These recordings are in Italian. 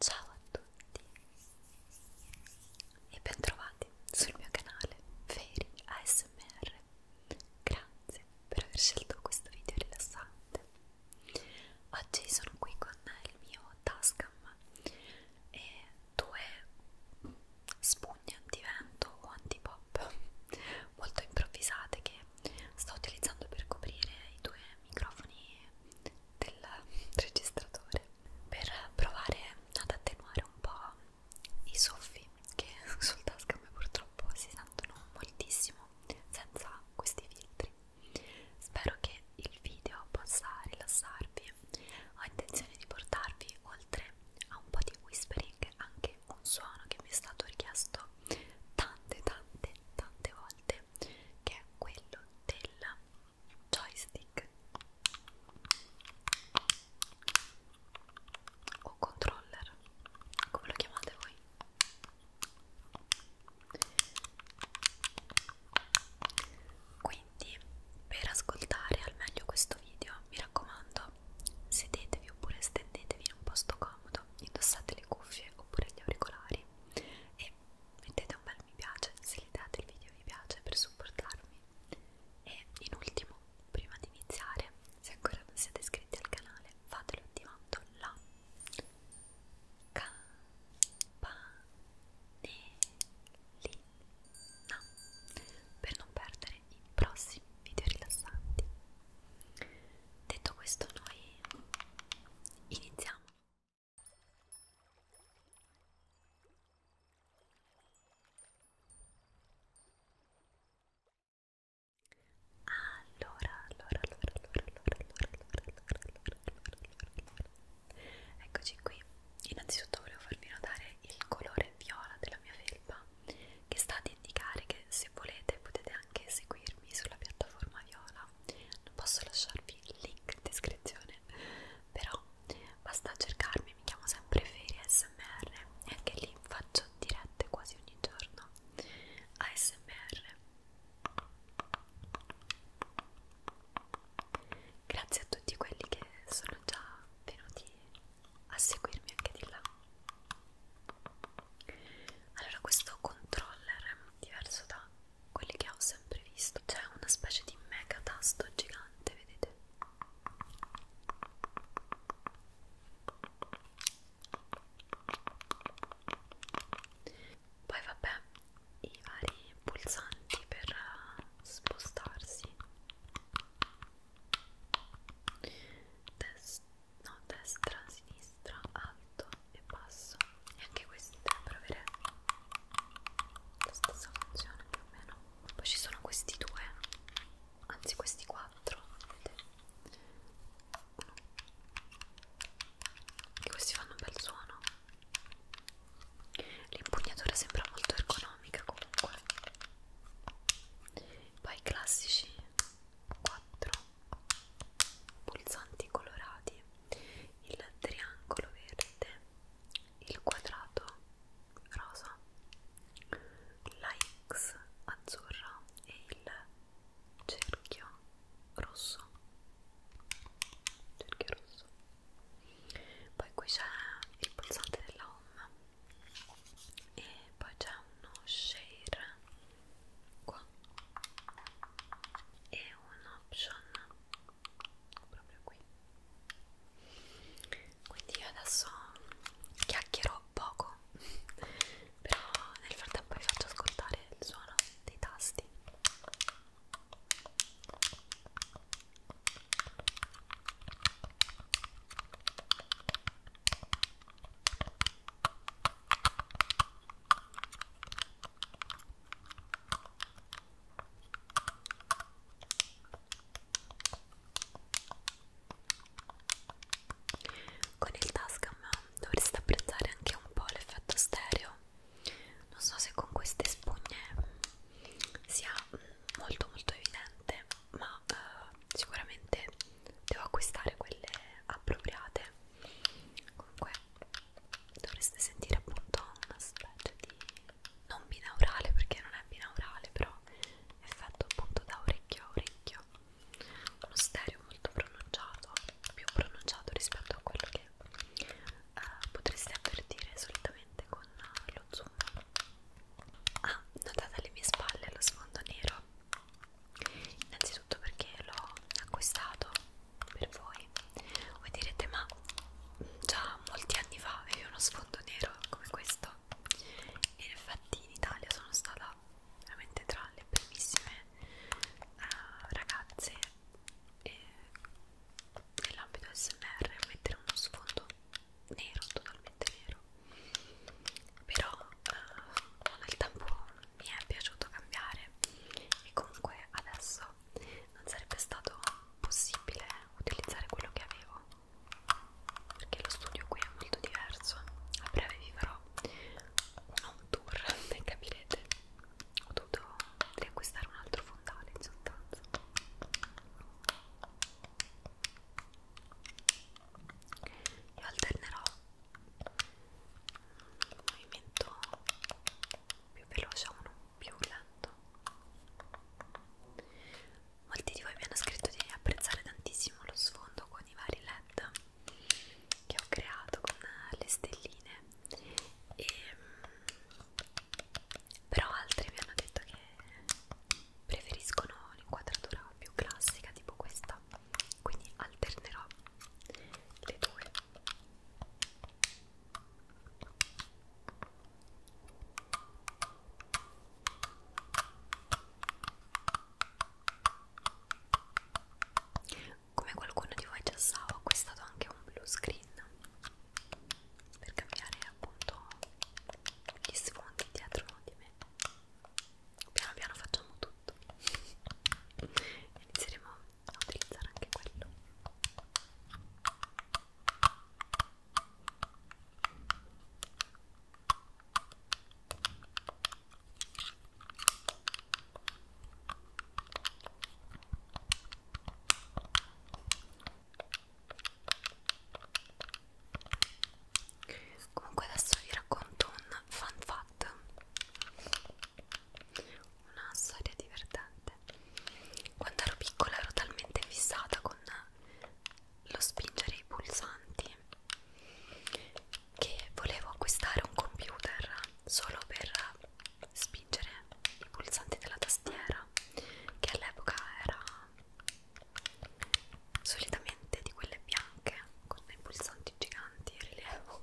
Ciao a tutti e bentrovati sul mio canale Fairy ASMR. Grazie per aver scelto questo video rilassante. Oggi sono qui con il mio Tascam e due spugne antivento o antipop molto improvvisate che sto utilizzando per coprire i due microfoni del registratore per provare ad attenuare un po' i soffi che sul tascam purtroppo si sentono moltissimo senza questi filtri spero che il video possa rilassarvi ho intenzione di portarvi oltre ha un po' di whispering, anche un suono che mi è stato richiesto tante tante tante volte, che è quello del joystick o controller, come lo chiamate voi? Quindi per ascoltare al meglio questo video mi raccomando comodità. Sedetevi oppure stendetevi in un posto comodo, indossate le cuffie oppure gli auricolari e mettete un bel mi piace se gli date il video mi piace per supportarmi. E in ultimo, prima di iniziare, se ancora non siete iscritti al canale, fatelo attivando la campanellina per non perdere i prossimi video rilassanti. Detto questo noi iniziamo. Allora, allora, allora, allora, allora, allora, allora, allora, allora, allora, allora, eccoci qui. Innanzitutto volevo farvi notare il colore viola della mia felpa che sta ad indicare che se volete potete anche seguirmi sulla piattaforma viola non posso lasciarvi il link in descrizione però basta cercarmi mi chiamo sempre Ferie ASMR e anche lì faccio dirette quasi ogni giorno ASMR grazie a tutti quelli che sono già venuti a seguirmi anche di là allora questo controller è diverso da quelli che ho sempre visto c'è una specie di mega tasto gigante vedete poi vabbè i vari pulsanti per spostarsi Des no, destra, sinistra, alto e basso e anche questi dovrebbero avere la stessa funzione più o meno poi ci sono questi due anzi questi quattro vedete che questi fanno un bel suono l'impugnatura sembra molto ergonomica comunque poi classici 4 pulsanti colorati il triangolo verde il quadrato rosa la X azzurra e il cerchio rosso cerchio rosso poi qui c'è il pulsante della home e poi c'è uno share qua e un option proprio qui quindi io adesso chiacchierò poco però nel frattempo vi faccio ascoltare il suono dei tasti con il Tascam dovreste apprezzare anche un po' l'effetto stereo. Non so se con queste spugne sia molto molto evidente ma eh, sicuramente devo acquistare quelle appropriate comunque dovreste sentire appunto una specie di non binaurale perché non è binaurale però è fatto appunto da orecchio a orecchio uno stereo molto pronunciato più pronunciato rispetto a quello che eh, potreste avvertire solitamente con lo zoom ah, notate alle mie spalle lo sfondo nero innanzitutto perché l'ho acquistato per voi voi direte ma già molti anni fa avevi uno sfondo nero come questo e infatti in Italia sono stata veramente tra le primissime uh, ragazze eh, nell'ambito smr mettere uno sfondo nero totalmente nero però eh, nel tempo mi è piaciuto cambiare e comunque adesso non sarebbe stato possibile utilizzare quello che avevo perché lo studio qui è molto diverso a breve vi farò un tour e capirete ho dovuto riacquistare un altro fondale in sostanza io alternerò un movimento più veloce a uno più lento molti di voi mi hanno scritto di apprezzare tantissimo lo sfondo con i vari led che ho creato con le stelline e ehm, però altri mi hanno detto che preferiscono l'inquadratura più classica tipo questa quindi alternerò le due come qualcuno di voi già sa ho acquistato anche un blue screen per cambiare appunto gli sfondi dietro di me piano piano facciamo tutto inizieremo a utilizzare anche quello Comunque adesso vi racconto un fun fact, una storia divertente. Quando ero piccola ero talmente fissata con lo spingere i pulsanti che volevo acquistare un computer solo per spingere i pulsanti della tastiera che all'epoca era solitamente di quelle bianche con dei pulsanti giganti in rilievo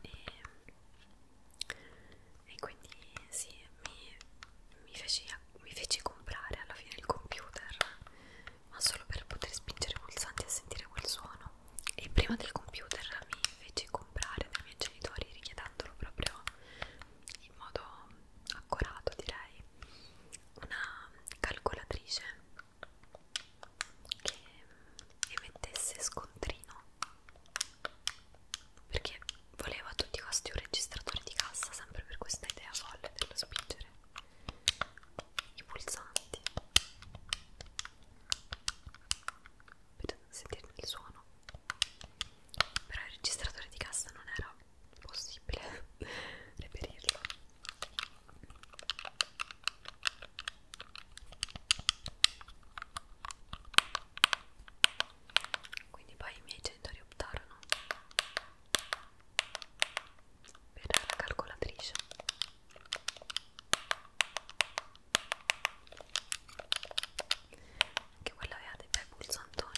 e, e quindi sì mi, mi, feci, mi feci comprare alla fine il computer ma solo per poter spingere i pulsanti e sentire quel suono. E prima del computer mi feci comprare dai miei genitori richiedendolo proprio in modo accurato direi una calcolatrice che emettesse scontrino perché volevo a tutti i costi un registratore di cassa sempre per questa idea folle dello spingere i pulsanti per sentirne il suono però il registratore di cassa non era possibile reperirlo quindi poi i miei genitori optarono per la calcolatrice anche quella aveva dei bei pulsantoni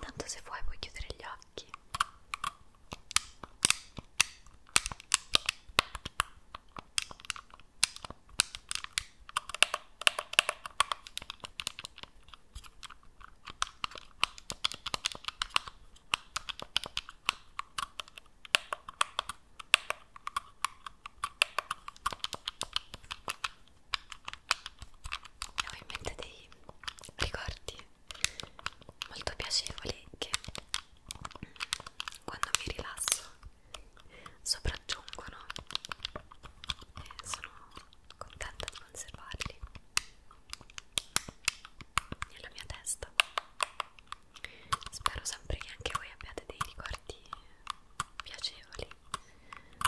Intanto se vuoi puoi chiudere gli occhi tacchi ho in mente dei ricordi molto piacevoli che quando mi rilasso sopraggiungono e sono contenta di conservarli nella mia testa spero sempre che anche voi abbiate dei ricordi piacevoli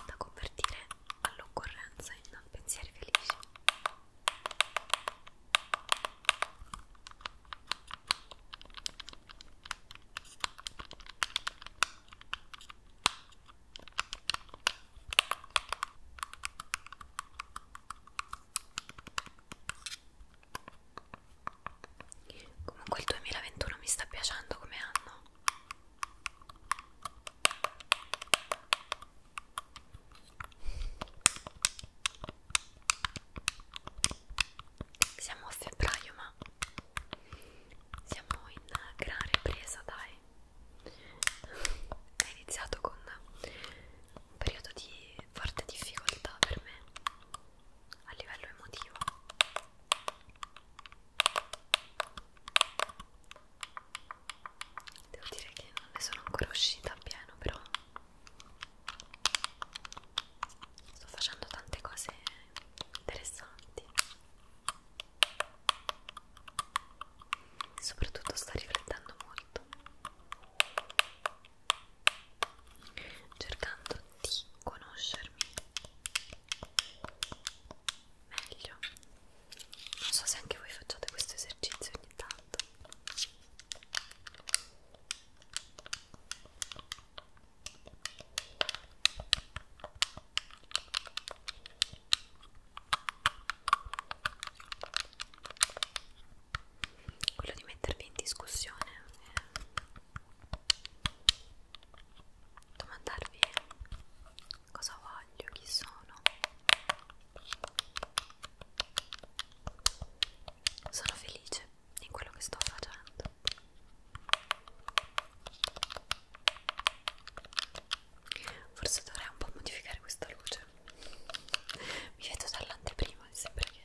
da convertire all'occorrenza in pensieri felici Comunque il 2021 mi sta piacendo come anno siamo a febbraio, ma siamo in gran ripresa, dai. È iniziato con un periodo di forte difficoltà per me a livello emotivo. Devo dire che non ne sono ancora uscita a pieno, però sto facendo tante cose interessanti. Soprattutto sto riflettendo molto, cercando di conoscermi meglio non so se anche voi facciate questo esercizio ogni tanto quello di mettervi in discussione eh. domandarvi cosa voglio, chi sono. Sono felice in quello che sto facendo. Forse dovrei un po' modificare questa luce. Mi vedo dall'anteprima, mi sembra che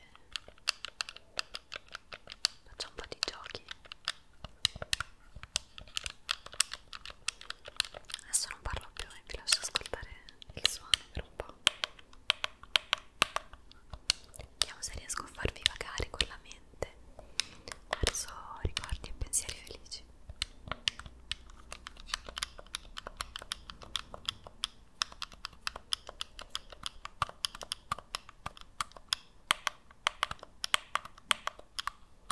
faccia un po' di giochi Adesso non parlo più e vi lascio ascoltare il suono per un po'. Vediamo se riesco a farvi vagare con la mente verso ricordi e pensieri felici. Ecco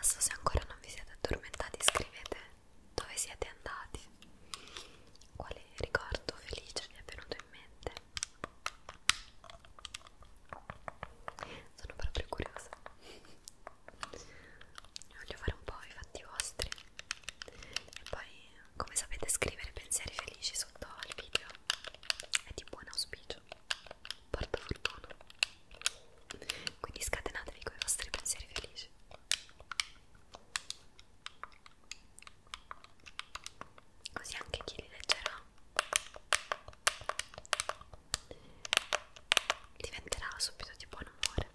Adesso se ancora non vi siete addormentati scrivete dove siete andati? Quale ricordo felice vi è venuto in mente? Sono proprio curiosa. Voglio fare un po' i fatti vostri. E poi, come sapete, scrivere pensieri felici sotto il video è di buon auspicio. Porta fortuna. Quindi scatenatevi con i vostri pensieri felici così anche chi li leggerà diventerà subito di buon umore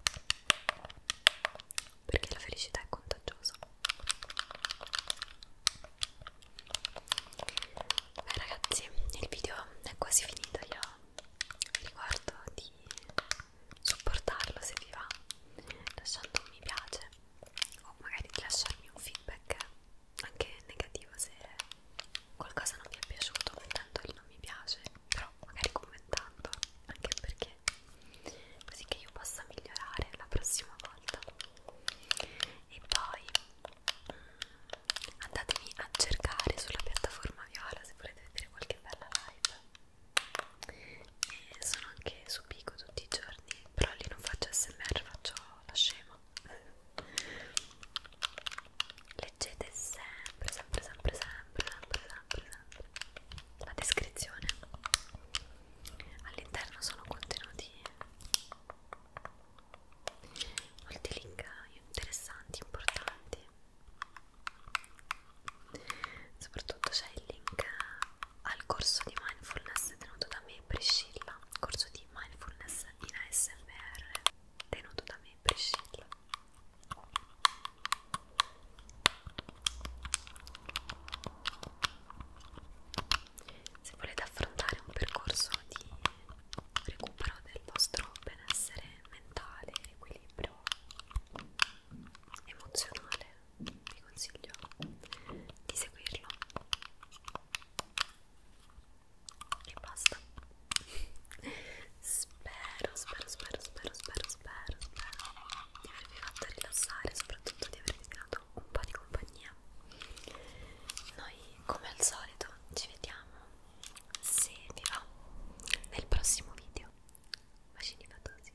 perché la felicità è contagiosa beh ragazzi il video è quasi finito io vi ricordo di supportarlo se vi va lasciando un mi piace o magari lasciarmi un feedback anche negativo se qualcosa non vi è piaciuto tanto il non mi piace però magari commentando anche perché così che io possa migliorare la prossima volta e poi mm, andatemi a cercare sulla piattaforma viola se volete vedere qualche bella live e sono anche su Pico tutti i giorni però lì non faccio smr faccio la scema leggete sempre sempre sempre sempre sempre sempre, sempre. la descrizione all'interno sono contenuti molti link interessanti importanti soprattutto c'è il link al corso di mindfulness tenuto da me e Priscilla corso di mindfulness in ASMR tenuto da me e Priscilla se volete affrontare un percorso di recupero del vostro benessere mentale, equilibrio libro emozionale vi consiglio di seguirlo e basta spero spero spero spero spero spero spero di avervi fatto rilassare soprattutto di avervi dato un po' di compagnia noi come al solito ci vediamo se vi va nel prossimo video bacini fatosi